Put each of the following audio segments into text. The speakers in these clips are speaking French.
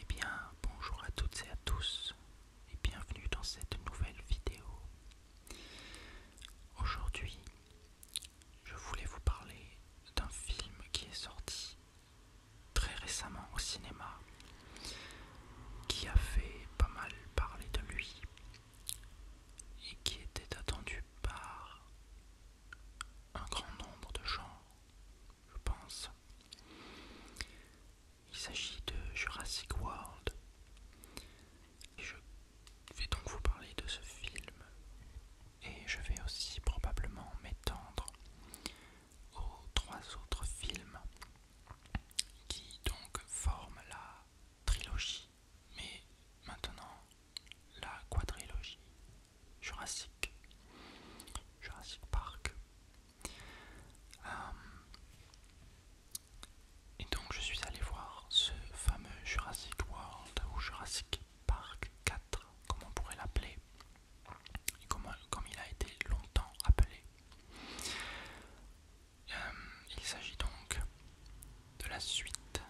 Eh bien, bonjour à toutes et à tous et bienvenue dans cette nouvelle vidéo. Aujourd'hui, je voulais vous parler d'un film qui est sorti très récemment au cinéma qui a fait pas mal parler de lui et qui était attendu par un grand nombre de gens, je pense. Il s'agit de Jurassic World. Et je vais donc vous parler de ce film et je vais aussi probablement m'étendre aux trois autres films qui donc forment la trilogie, mais maintenant la quadrilogie Jurassic, Jurassic Park. Euh, et donc je suis allé voir ce fameux Jurassic World ou Jurassic Park 4, comme on pourrait l'appeler, comme, comme il a été longtemps appelé. Euh, il s'agit donc de la suite,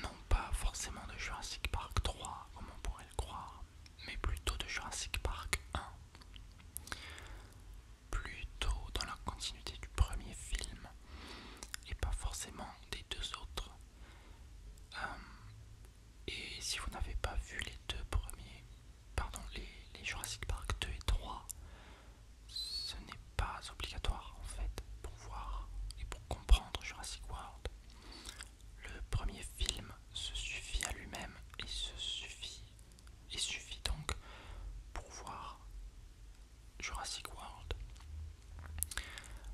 non pas forcément de Jurassic Park 3 comme on pourrait le croire, mais plutôt de Jurassic Park 1, plutôt dans la continuité du premier film et pas forcément des deux autres euh, et si vous n'avez pas vu les deux premiers, pardon, les, Jurassic Park 2 et 3, ce n'est pas obligatoire en fait pour voir et pour comprendre Jurassic World. Le premier film se suffit à lui-même et se suffit il suffit donc pour voir Jurassic World.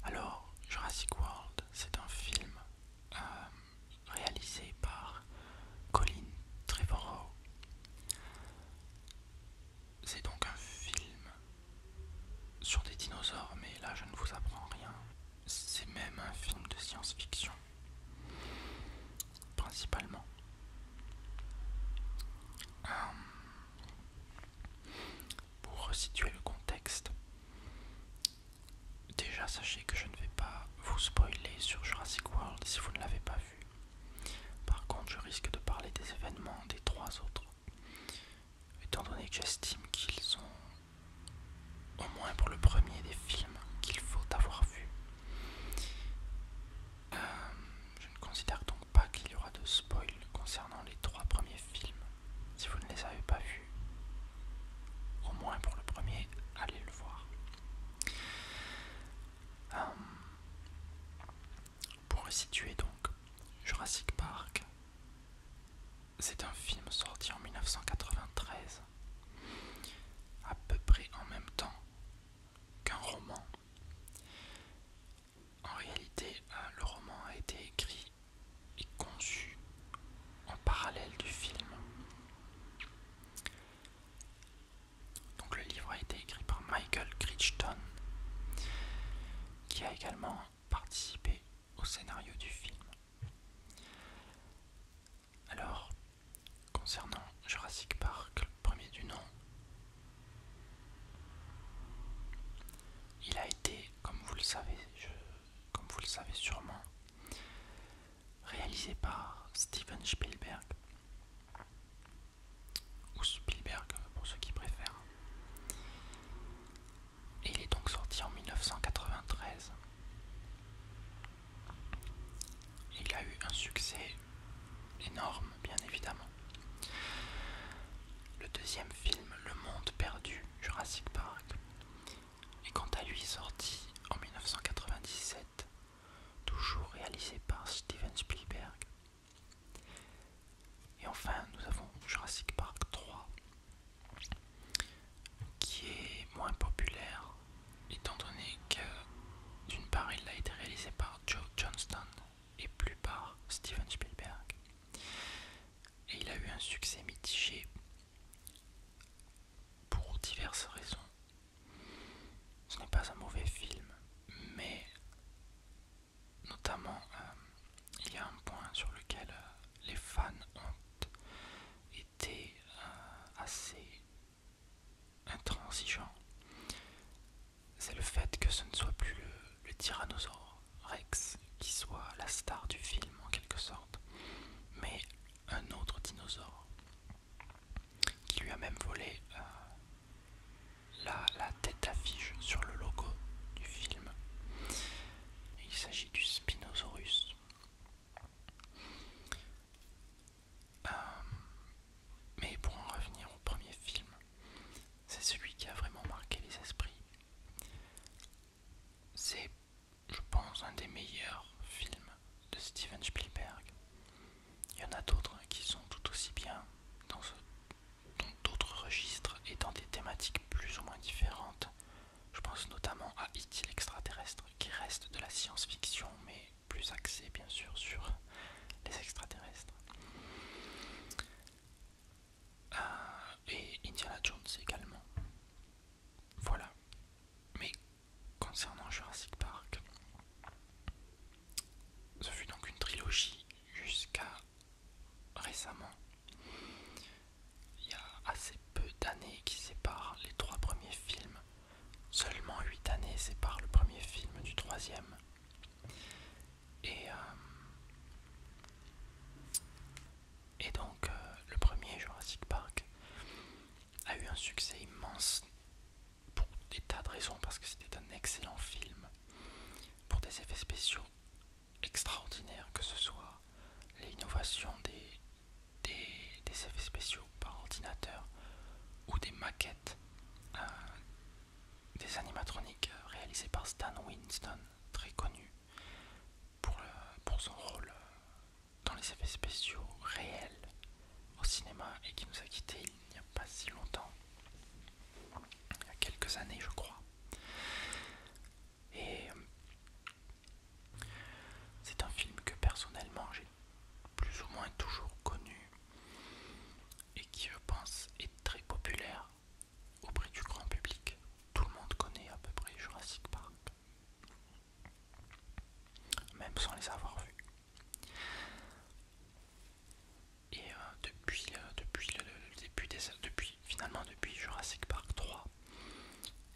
Alors, Jurassic World, c'est un film euh, réalisé par Colin Trevorrow. C'est donc un film sur des dinosaures, mais là je ne vous apprends rien. C'est même un film de science-fiction, principalement. Euh, pour resituer le contexte, déjà sachez que je ne vais pas vous spoiler sur Jurassic World si vous ne l'avez pas vu. Par contre, je risque de parler des événements des trois autres, étant donné que j'estime qu'ils sont, au moins pour le premier, des films qu'il faut avoir vu. Euh, je ne considère donc pas qu'il y aura de spoil concernant les trois premiers films si vous ne les avez pas vus, au moins pour le premier, allez le voir. Euh, pour resituer donc, Jurassic Park, c'est un film sorti en 1993, à peu près en même temps qu'un roman. En réalité, euh, le roman a été écrit est conçu en parallèle du film. Donc le livre a été écrit par Michael Crichton, qui a également participé au scénario du film. Alors, concernant Jurassic Park, le premier du nom, il a été, comme vous le savez, je comme vous le savez sûrement, réalisé par Steven Spielberg, ou Spielberg pour ceux qui préfèrent. Et il est donc sorti en 1993. Il a eu un succès énorme, bien évidemment. Le deuxième film, Le Monde perdu, Jurassic Park, et quant à lui sorti en 1997, toujours réalisé par Steven Spielberg. Et enfin, nous avons Jurassic Park 3, qui est moins populaire, étant donné que d'une part il a été réalisé par Joe Johnston et plus par Steven Spielberg. Et il a eu un succès mitigé pour diverses raisons. Ce n'est pas un mauvais film, mais notamment euh, il y a un point sur lequel euh, les fans ont été euh, assez intransigeants. C'est le fait que ce ne soit plus le, le tyrannosaure Rex qui soit la star du film en quelque sorte, mais un autre dinosaure qui lui a même volé euh, la, tête d'affiche sur le logo du film. Il s'agit du Spinosaurus. Euh, mais pour en revenir au premier film, c'est celui qui a vraiment marqué les esprits. C'est je pense, un des meilleurs films de Steven Spielberg. Il y en a d'autres qui sont tout aussi bien dans d'autres registres et dans des thématiques plus ou moins différentes. Je pense notamment à E.T. l'extraterrestre qui reste de la science-fiction mais plus axé bien sûr sur les extraterrestres. Euh, et Indiana Jones également. Voilà. Mais concernant Jurassic Park, ce fut donc une trilogie jusqu'à récemment. Il y a assez peu d'années qui séparent les trois premiers films. Seulement huit années séparent le premier film du troisième. Et euh, et donc euh, le premier Jurassic Park a eu un succès immense pour des tas de raisons, parce que c'était un excellent film, pour des effets spéciaux extraordinaires, que ce soit l'innovation des, des, des, effets spéciaux par ordinateur ou des maquettes euh, des animatroniques euh, réalisées par Stan Winston, très connu euh, pour, son rôle euh, dans les effets spéciaux réels au cinéma et qui nous a quittés il n'y a pas si longtemps, il y a quelques années je crois. Et euh, c'est un film que personnellement j'ai plus ou moins toujours connu et qui je pense est très populaire auprès du grand public tout le monde connaît à peu près Jurassic Park, même sans les avoir vus. Et euh, depuis, le, début des, depuis, finalement depuis Jurassic Park 3,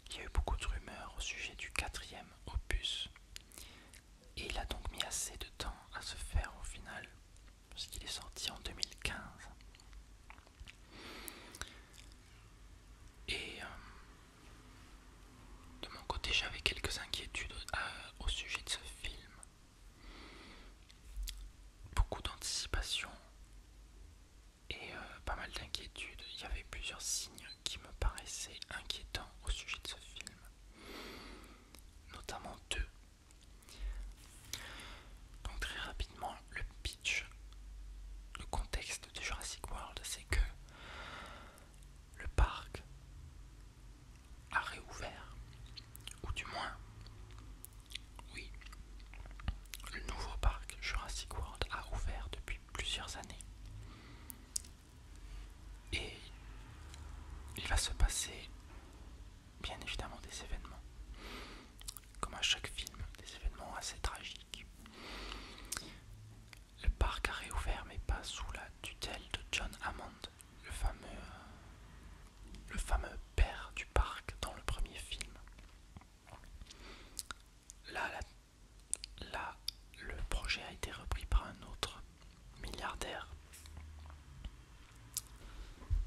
il y a eu beaucoup de rumeurs au sujet du quatrième opus. Et il a donc mis assez de temps à se faire au final, parce qu'il est sorti en 2015. Et euh, de mon côté, j'avais quelques inquiétudes euh, au sujet de ce film. Beaucoup d'anticipation et euh, pas mal d'inquiétudes. Il y avait plusieurs signes qui me paraissaient inquiétants au sujet de ce film, notamment deux. Donc très rapidement, le pitch, le contexte de Jurassic World, c'est que le parc a réouvert, ou du moins, oui, le nouveau parc Jurassic World a ouvert depuis plusieurs années. Et il va se passer bien évidemment des événements comme à chaque film, des événements assez tragiques. Le parc a réouvert mais pas sous la tutelle de John Hammond, le fameux, le fameux père du parc dans le premier film. Là, là, le projet a été repris par un autre milliardaire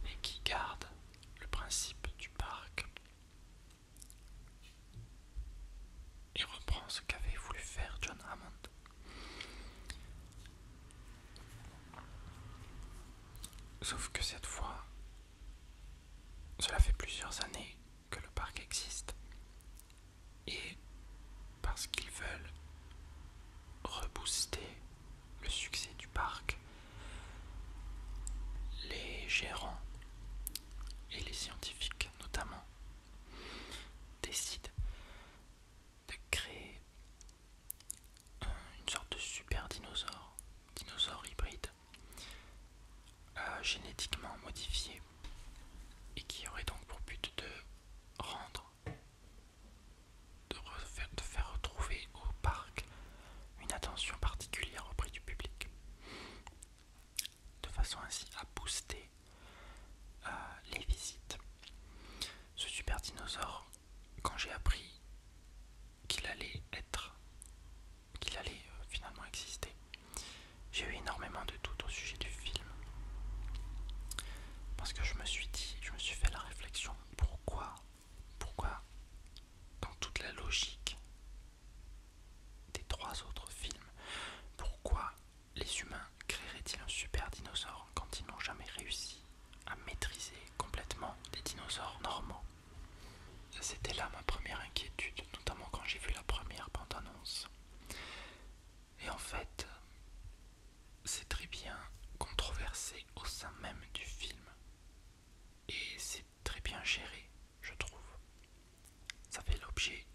et qui garde le principe du parc il reprend ce qu'avait voulu faire John Hammond. Sauf que cette fois, cela fait plusieurs années que le parc existe. Et parce qu'ils veulent rebooster le succès du parc, les gérants et les scientifiques notamment décident de créer une sorte de super dinosaure, dinosaure hybride, euh, génétiquement modifié et qui aurait donc pour but de rendre, de faire retrouver au parc une attention particulière auprès du public de façon ainsi à booster euh, les visites. Ce super dinosaure, quand j'ai appris qu'il allait être, qu'il allait euh, finalement exister, j'ai eu énormément de doutes au sujet du film. Parce que je me suis dit, je me suis fait la réflexion, pourquoi, pourquoi dans toute la logique des trois autres films. Pourquoi les humains créeraient-ils un super dinosaure quand ils n'ont jamais réussi à maîtriser complètement des dinosaures normaux C'était là ma première inquiétude, notamment quand j'ai vu la première bande-annonce. Et en fait, c'est très bien controversé au sein même du film et c'est très bien géré, je trouve. Ça fait l'objet,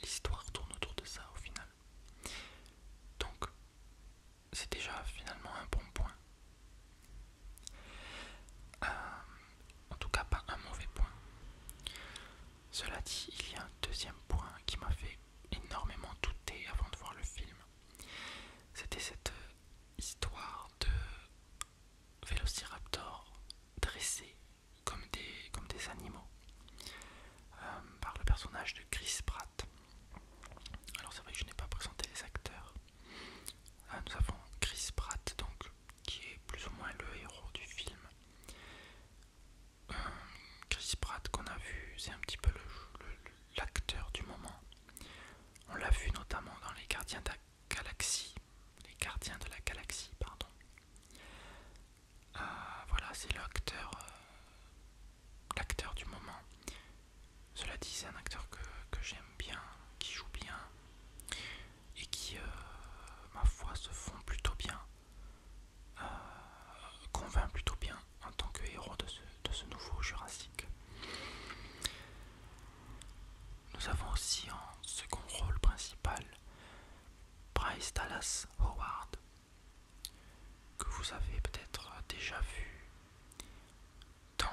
l'histoire tourne autour de ça au final. Donc, c'est déjà finalement un bon point. Euh, en tout cas, pas un mauvais point. Cela dit, il y a un deuxième point qui m'a fait énormément douter avant de voir le film. C'était cette euh, histoire de Vélociraptor dressé comme des, comme des animaux euh, par le personnage de Chris Pratt. Alors c'est vrai que je n'ai pas présenté les acteurs. Euh, nous avons Chris Pratt donc qui est plus ou moins le héros du film. Euh, Chris Pratt qu'on a vu, c'est un petit peu l'acteur du moment. On l'a vu notamment dans Les Gardiens de la Galaxie les gardiens de la galaxie, pardon. Euh, voilà, c'est l'acteur euh, l'acteur du moment. Cela dit, c'est un acteur que, j'aime bien, qui joue bien et qui, euh, ma foi, se fond plutôt bien, convainc plutôt bien en tant que héros de ce, de ce nouveau Jurassic. Nous avons aussi en second rôle principal Bryce Dallas Howard, que vous avez peut-être déjà vu dans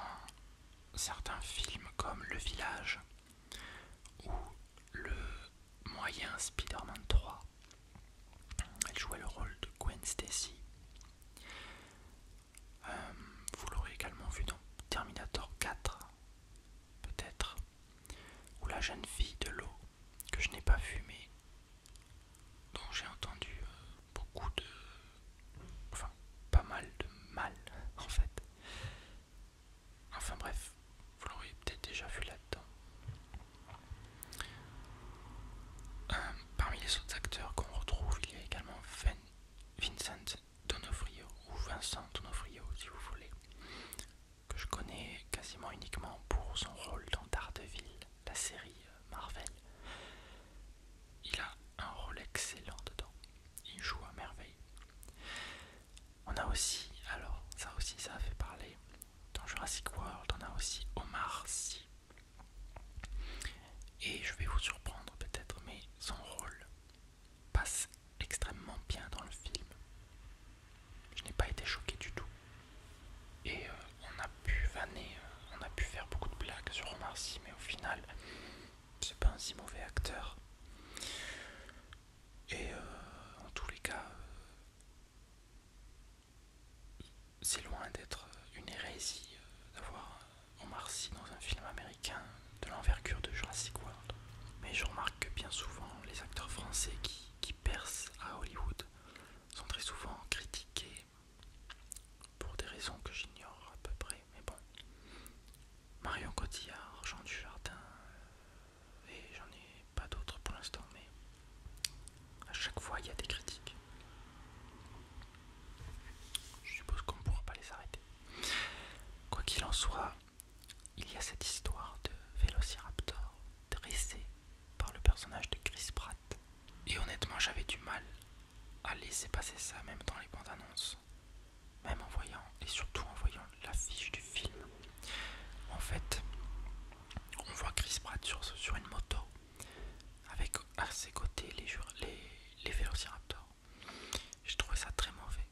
certains films comme Le Village ou le moyen Spider-Man 3. Elle jouait le rôle de Gwen Stacy. Euh, vous l'aurez également vu dans Terminator 4 peut-être, ou la jeune fille de l'eau que je n'ai pas vue mais dont j'ai entendu euh, beaucoup de... enfin pas mal de mal en fait. Enfin bref, vous l'auriez peut-être déjà vu là-dedans. Euh, parmi les autres acteurs qu'on retrouve, il y a également Vincent Donofrio ou Vincent Donofrio si vous voulez, que je connais quasiment uniquement pour son rôle dans Daredevil, la série euh, Marvel. Il a un rôle excellent dedans, il joue à merveille. On a aussi, alors ça aussi ça a fait parler, dans Jurassic World on a aussi Omar Sy. Et je vais vous surprendre peut-être, mais son rôle passe extrêmement bien dans le film. Je n'ai pas été choqué du tout. Et euh, on a pu vanner, euh, on a pu faire beaucoup de blagues sur Omar mais au final, c'est pas un si mauvais acteur. Et euh, en tous les cas, c'est loin d'être une hérésie d'avoir Omar dans un film américain de l'envergure de Jurassic World. Mais je remarque que bien souvent, les acteurs français qui, qui percent à Hollywood sont très souvent critiqués pour des raisons que j'ignore à peu près. Mais bon, Marion Cotillard, Jean Dujardin, euh, et j'en ai pas d'autres pour l'instant, mais à chaque fois il y a des critiques. Je suppose qu'on ne pourra pas les arrêter. Quoi qu'il en soit, il y a cette histoire de Vélociraptor dressé par le personnage de Chris Pratt. Et honnêtement, j'avais du mal à laisser passer ça, même dans les bandes annonces, même en voyant, et surtout en voyant l'affiche du film. En fait, on voit Chris Pratt sur, une moto, avec à ses côtés les, les Vélociraptors. J'ai trouvé ça très mauvais.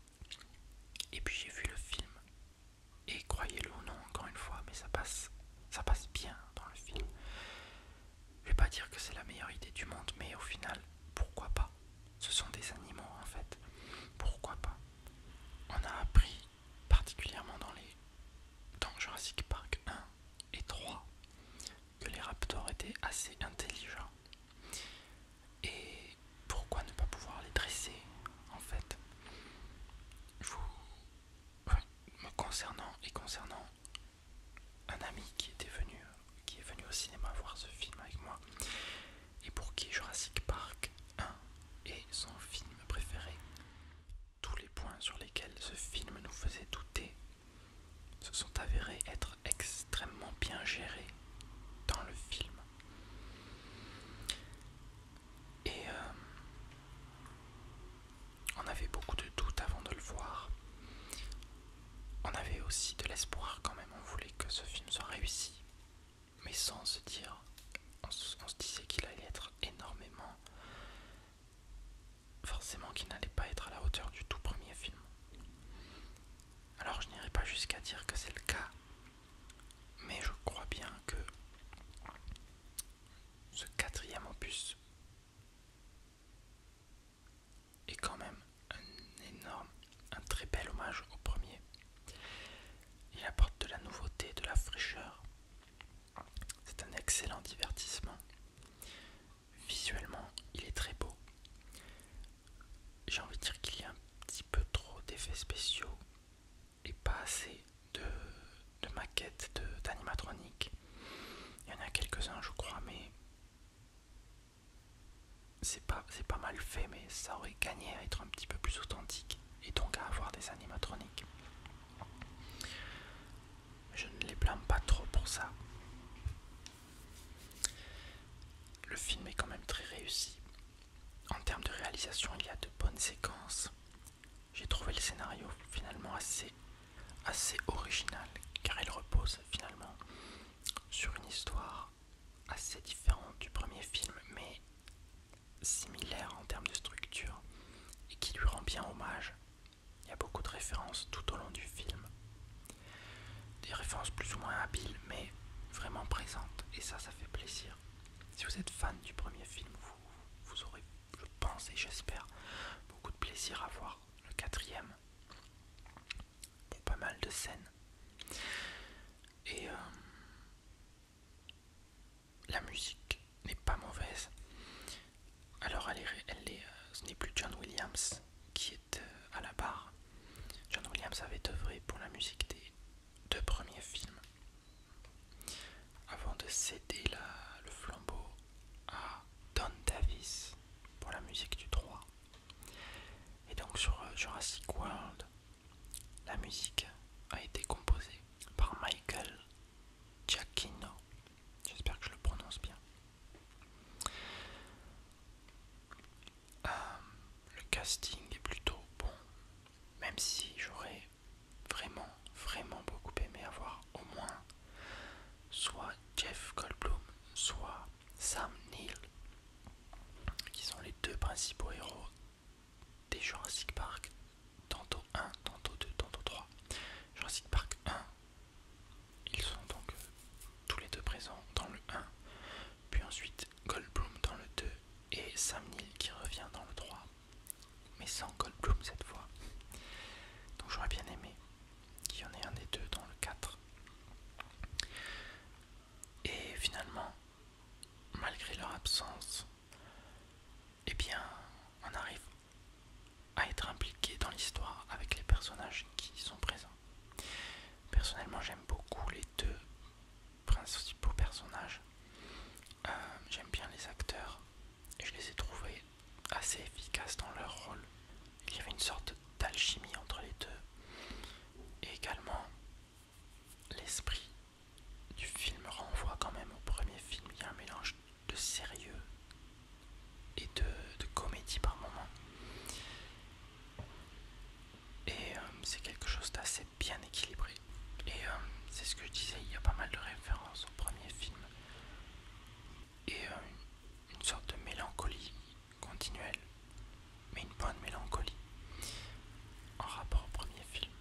Et puis j'ai vu le film. Et croyez-le ou non, encore une fois, mais ça passe, ça passe bien dans le film. Je vais pas dire que c'est la meilleure idée du monde, mais au final, pourquoi pas Ce sont des animaux en fait. Pourquoi pas On a appris, particulièrement dans les dans Jurassic Park 1 et 3, que les raptors étaient assez intelligents. Et pourquoi ne pas pouvoir les dresser en fait vous, me concernant et concernant un ami qui était venu qui est venu au cinéma voir ce film avec moi et pour qui Jurassic Park 1 est son film préféré tous les points sur lesquels ce film nous faisait douter se sont avérés être extrêmement bien gérés dans le film et euh, on avait beaucoup de doutes avant de le voir. On avait aussi de l'espoir quand même, on voulait que ce film soit réussi, mais sans se dire, on se disait qu'il allait être énormément, forcément qu'il n'allait pas être à la hauteur du tout premier film. Alors je n'irai pas jusqu'à dire que c'est le cas, mais je crois bien que ce quatrième opus est quand même un énorme, un très bel hommage au premier. Il apporte de la nouveauté, de la fraîcheur. C'est un excellent divertissement. Visuellement, il est très beau j'ai envie de dire qu'il y a un petit peu trop d'effets spéciaux et pas assez de, maquettes d'animatronique. Il y en a quelques-uns, je crois, mais c'est pas mal fait, mais ça aurait gagné à être un petit peu plus authentique et donc à avoir des animatroniques. Je ne les blâme pas trop pour ça. Le film est quand même très réussi. En termes de réalisation, il y a de bonnes séquences. J'ai trouvé le scénario finalement assez, assez original, car il repose finalement sur une histoire assez différente du premier film, mais similaire en termes de structure, et qui lui rend bien hommage. Il y a beaucoup de références tout au long du film. Des références plus ou moins habiles, mais vraiment présentes, et ça, ça fait plaisir. Si vous êtes fan du premier film, vous, aurez, je pense et j'espère, beaucoup de plaisir à voir le quatrième. Pour pas mal de scènes. Et euh, la musique n'est pas mauvaise. Alors elle est, elle est, euh, ce n'est plus John Williams qui est euh, à la barre. John Williams avait œuvré pour la musique des deux premiers films avant de céder le flambeau à Don Davis pour la musique du 3. Et donc sur euh, Jurassic World, la musique a été composée par Michael Giacchino. J'espère que je le prononce bien. Euh, le casting est plutôt bon, même si j'aurais vraiment, vraiment beaucoup aimé avoir au moins soit Jeff Goldblum, soit Sam Neill, qui sont les deux principaux héros des Jurassic Park, tantôt 1, tantôt 2, tantôt 3. Jurassic Park 1, ils sont donc euh, tous les deux présents dans le 1, puis ensuite Goldblum dans le 2 et Sam Neill qui revient dans le 3, mais sans Goldblum cette fois. Donc j'aurais bien aimé qu'il y en ait un des deux dans le 4. Et finalement, malgré leur absence, eh bien, on arrive à être impliqué dans l'histoire avec les personnages qui sont présents. Personnellement, j'aime beaucoup les deux principaux beau personnage. Euh, j'aime bien les acteurs et je les ai trouvés assez efficaces dans leur rôle. Il y avait une sorte d'alchimie entre les deux. Et également, l'esprit du film renvoie quand même au premier film. Il y a un mélange de sérieux et de, comédie par moment. Et euh, c'est quelque chose d'assez bien équilibré. Et euh, c'est ce que je disais, il y a pas mal de références au premier film. Et euh, une sorte de mélancolie continuelle, mais une bonne mélancolie en rapport au premier film.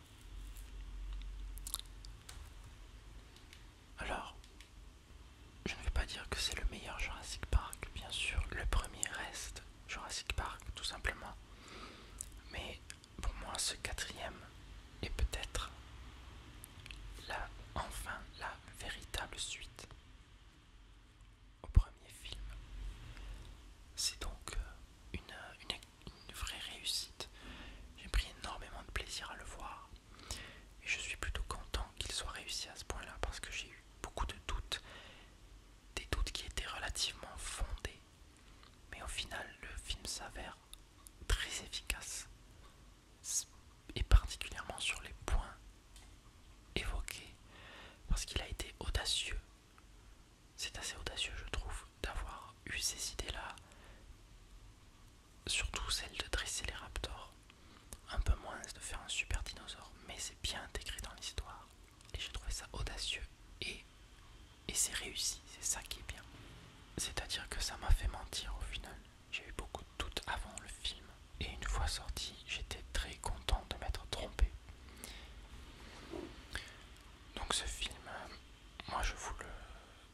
Alors, je ne vais pas dire que c'est le meilleur Jurassic Park, bien sûr, le premier reste Jurassic Park, tout simplement. Mais pour moi, ce quatrième est peut-être la, enfin la véritable suite au premier film. C'est donc euh, une, une vraie réussite. J'ai pris énormément de plaisir à le voir. Et je suis plutôt content qu'il soit réussi à ce point-là parce que j'ai eu beaucoup de doutes des doutes qui étaient relativement fondés. Mais au final, le film s'avère très efficace, et particulièrement sur les points évoqués, parce qu'il a été audacieux. C'est assez audacieux, je trouve, d'avoir eu ces idées-là, surtout celle de dresser les raptors. Un peu moins de faire un super dinosaure, mais c'est bien intégré dans l'histoire. Et j'ai trouvé ça audacieux et, et c'est réussi, c'est ça qui est bien. C'est-à-dire que ça m'a fait mentir au final. J'ai eu beaucoup de doutes avant le film. Et une fois sorti, j'étais très content de m'être trompé. Donc ce film, moi je vous le...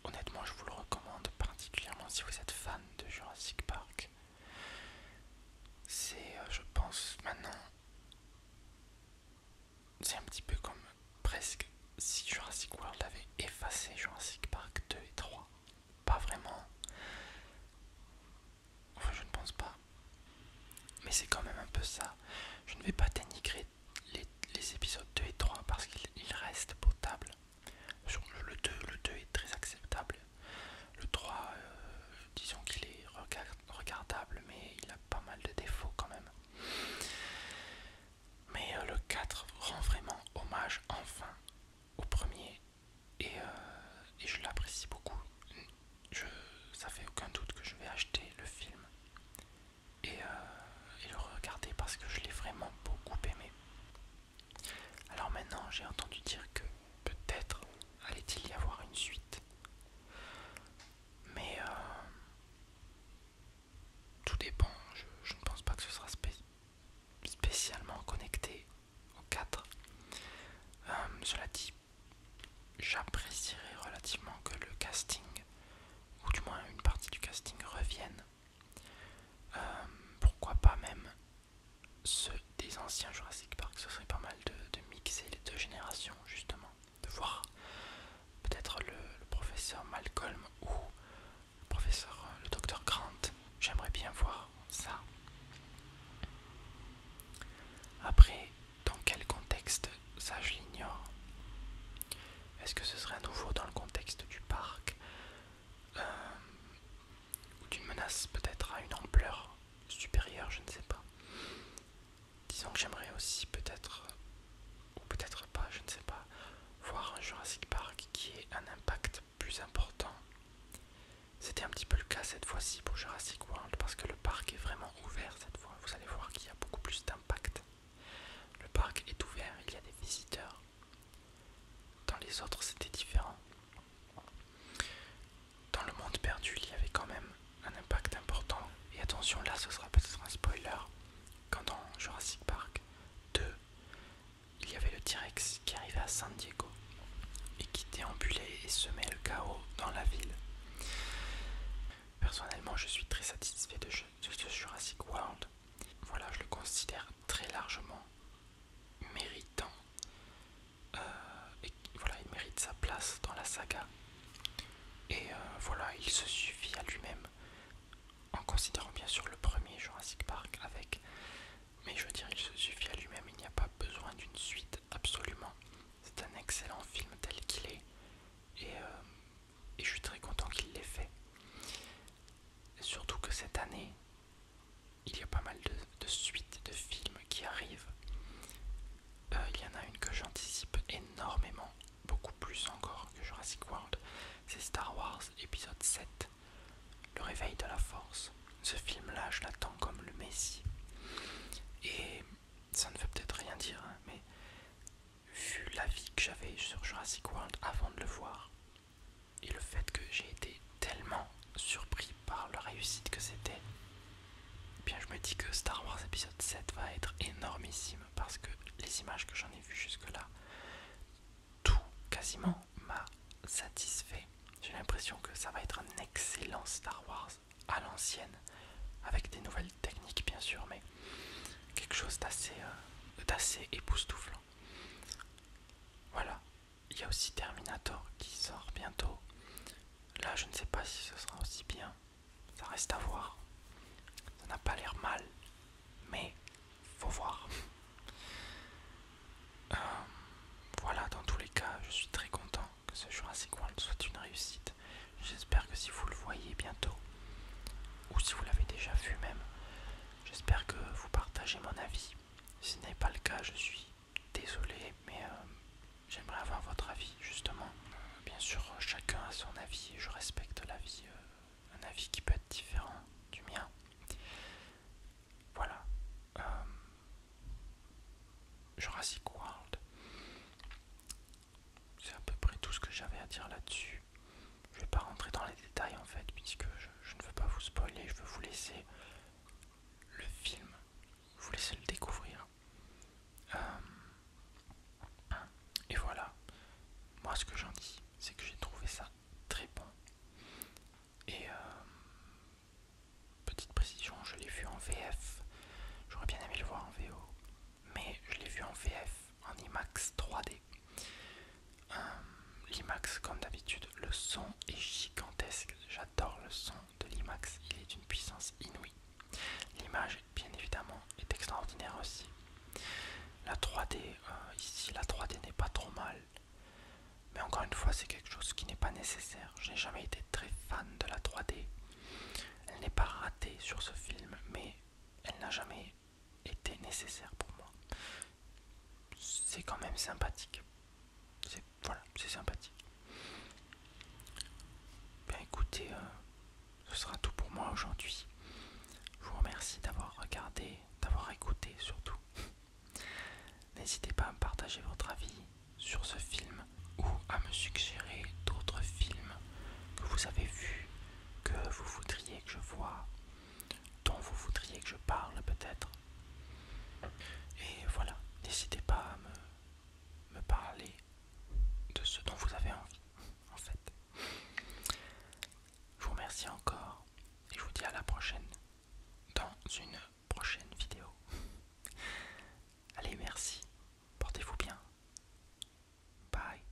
Honnêtement, je vous le recommande particulièrement si vous êtes fan de Jurassic Park. C'est, euh, je pense, maintenant c'est un petit peu comme presque si Jurassic World avait effacé Jurassic Park 2 et 3. Pas vraiment. Enfin, je ne pense pas. Mais c'est quand même un peu ça. Je ne vais pas dénigrer les, épisodes 2 et 3 parce qu'ils restent potables. Le 2, le 2 est très acceptable. Le 3, euh, disons qu'il est regardé regardable, mais il a pas mal de défauts quand même. Mais euh, le 4 rend vraiment hommage enfin au premier euh, et, je l'apprécie beaucoup. Je, ça fait aucun doute que je vais acheter le film et, euh, et le regarder parce que je l'ai vraiment beaucoup aimé. Alors maintenant j'ai entendu dire que peut-être allait-il y avoir une suite. Mais euh, tout dépend, je, ne pense pas que ce sera spécialement connecté aux 4. Euh, cela dit, j'apprécierais relativement que le casting, ou du moins une partie du casting, revienne. Euh, pourquoi pas même ceux des anciens Jurassic Park, ce serait pas mal de, de mixer les deux générations justement de voir peut-être le, professeur Malcolm ou le professeur, euh, le docteur Grant. J'aimerais bien voir ça. Après, dans quel contexte Ça, je l'ignore. Est-ce que ce serait à nouveau dans le contexte du parc euh, Ou d'une menace peut-être à une ampleur supérieure, je ne sais pas. Disons que j'aimerais aussi peut-être, ou peut-être pas, je ne sais pas, voir un Jurassic Park qui ait un impact plus important. C'était un petit peu le cas cette fois-ci pour Jurassic World parce que le parc est vraiment ouvert cette fois. Vous allez voir qu'il y a beaucoup plus d'impact. Le parc est ouvert, il y a des visiteurs. Dans les autres, c'était différent dans le monde perdu, il y avait quand même un impact important. Et attention, là, ce sera peut-être un spoiler. Quand dans Jurassic Park 2, il y avait le T-Rex qui arrivait à San Diego et qui déambulait et semait le chaos dans la ville. Personnellement, je suis très satisfait de, Jurassic World. Voilà, je le considère très largement méritant euh, voilà, il mérite sa place dans la saga. Et euh, voilà, il se suffit à lui-même, en considérant bien sûr le premier Jurassic Park avec. Mais je veux dire, il se suffit à lui-même, il n'y a pas besoin d'une suite, absolument. C'est un excellent film tel qu'il est, et, euh, je suis très content qu'il l'ait fait. surtout que cette année, il y a pas mal de suites de films qui arrivent. Euh, il y en a une que j'anticipe énormément, beaucoup plus encore que Jurassic World, c'est Star Wars épisode 7, Le réveil de la force. Ce film-là, je l'attends comme le Messie. Et ça ne veut peut-être rien dire, hein, mais vu l'avis que j'avais sur Jurassic World avant de le voir, et le fait que j'ai été tellement surpris par la réussite que c'était, bien je me dis que Star Wars épisode 7 va être énormissime parce que les images que j'en ai vues jusque-là, tout quasiment m'a satisfait. J'ai l'impression que ça va être un excellent Star Wars à l'ancienne, avec des nouvelles techniques bien sûr, mais quelque chose d'assez euh, époustouflant. Voilà, il y a aussi Terminator qui sort bientôt. Là, je ne sais pas si ce sera aussi bien, ça reste à voir. Ça n'a pas l'air mal, mais faut voir. Euh, voilà, dans tous les cas, je suis très content que ce Jurassic World soit une réussite. J'espère que si vous le voyez bientôt, ou si vous l'avez déjà vu même, j'espère que vous partagez mon avis. Si ce n'est pas le cas, je suis désolé, mais euh, J'aimerais avoir votre avis, justement. bien sûr, chacun a son avis et je respecte l'avis, euh, un avis qui peut être différent du mien. Voilà. Euh, Jurassic World. C'est à peu près tout ce que j'avais à dire là-dessus. Je vais pas rentrer dans les détails en fait, puisque je ne veux pas vous spoiler, je veux vous laisser le film, vous laisser le découvrir. Euh, et voilà, moi ce que j'en dis, c'est que j'ai trouvé ça très bon. Et euh, petite précision, je l'ai vu en VF. J'aurais bien aimé le voir en VO, mais je l'ai vu en VF, en IMAX 3D. Euh, L'IMAX, comme d'habitude, le son est gigantesque. J'adore le son de l'IMAX, il est d'une puissance inouïe. L'image bien évidemment est extraordinaire aussi. La 3D euh, ici, la 3D n'est pas trop mal. Mais encore une fois, c'est quelque chose qui n'est pas nécessaire. Je n'ai jamais été très fan de la 3D. Elle n'est pas ratée sur ce film, mais elle n'a jamais été nécessaire pour moi. C'est quand même sympathique. c'est Voilà, c'est sympathique. Bien écoutez, euh, ce sera tout pour moi aujourd'hui. Je vous remercie d'avoir regardé, d'avoir écouté surtout. N'hésitez pas à me partager votre avis sur ce film ou à me suggérer d'autres films que vous avez vus, que vous voudriez que je voie, dont vous voudriez que je parle peut-être. Et voilà, n'hésitez pas à me parler de ce dont vous avez envie, en fait. Je vous remercie encore et je vous dis à la prochaine dans une prochaine vidéo. Allez, merci, portez-vous bien. Bye.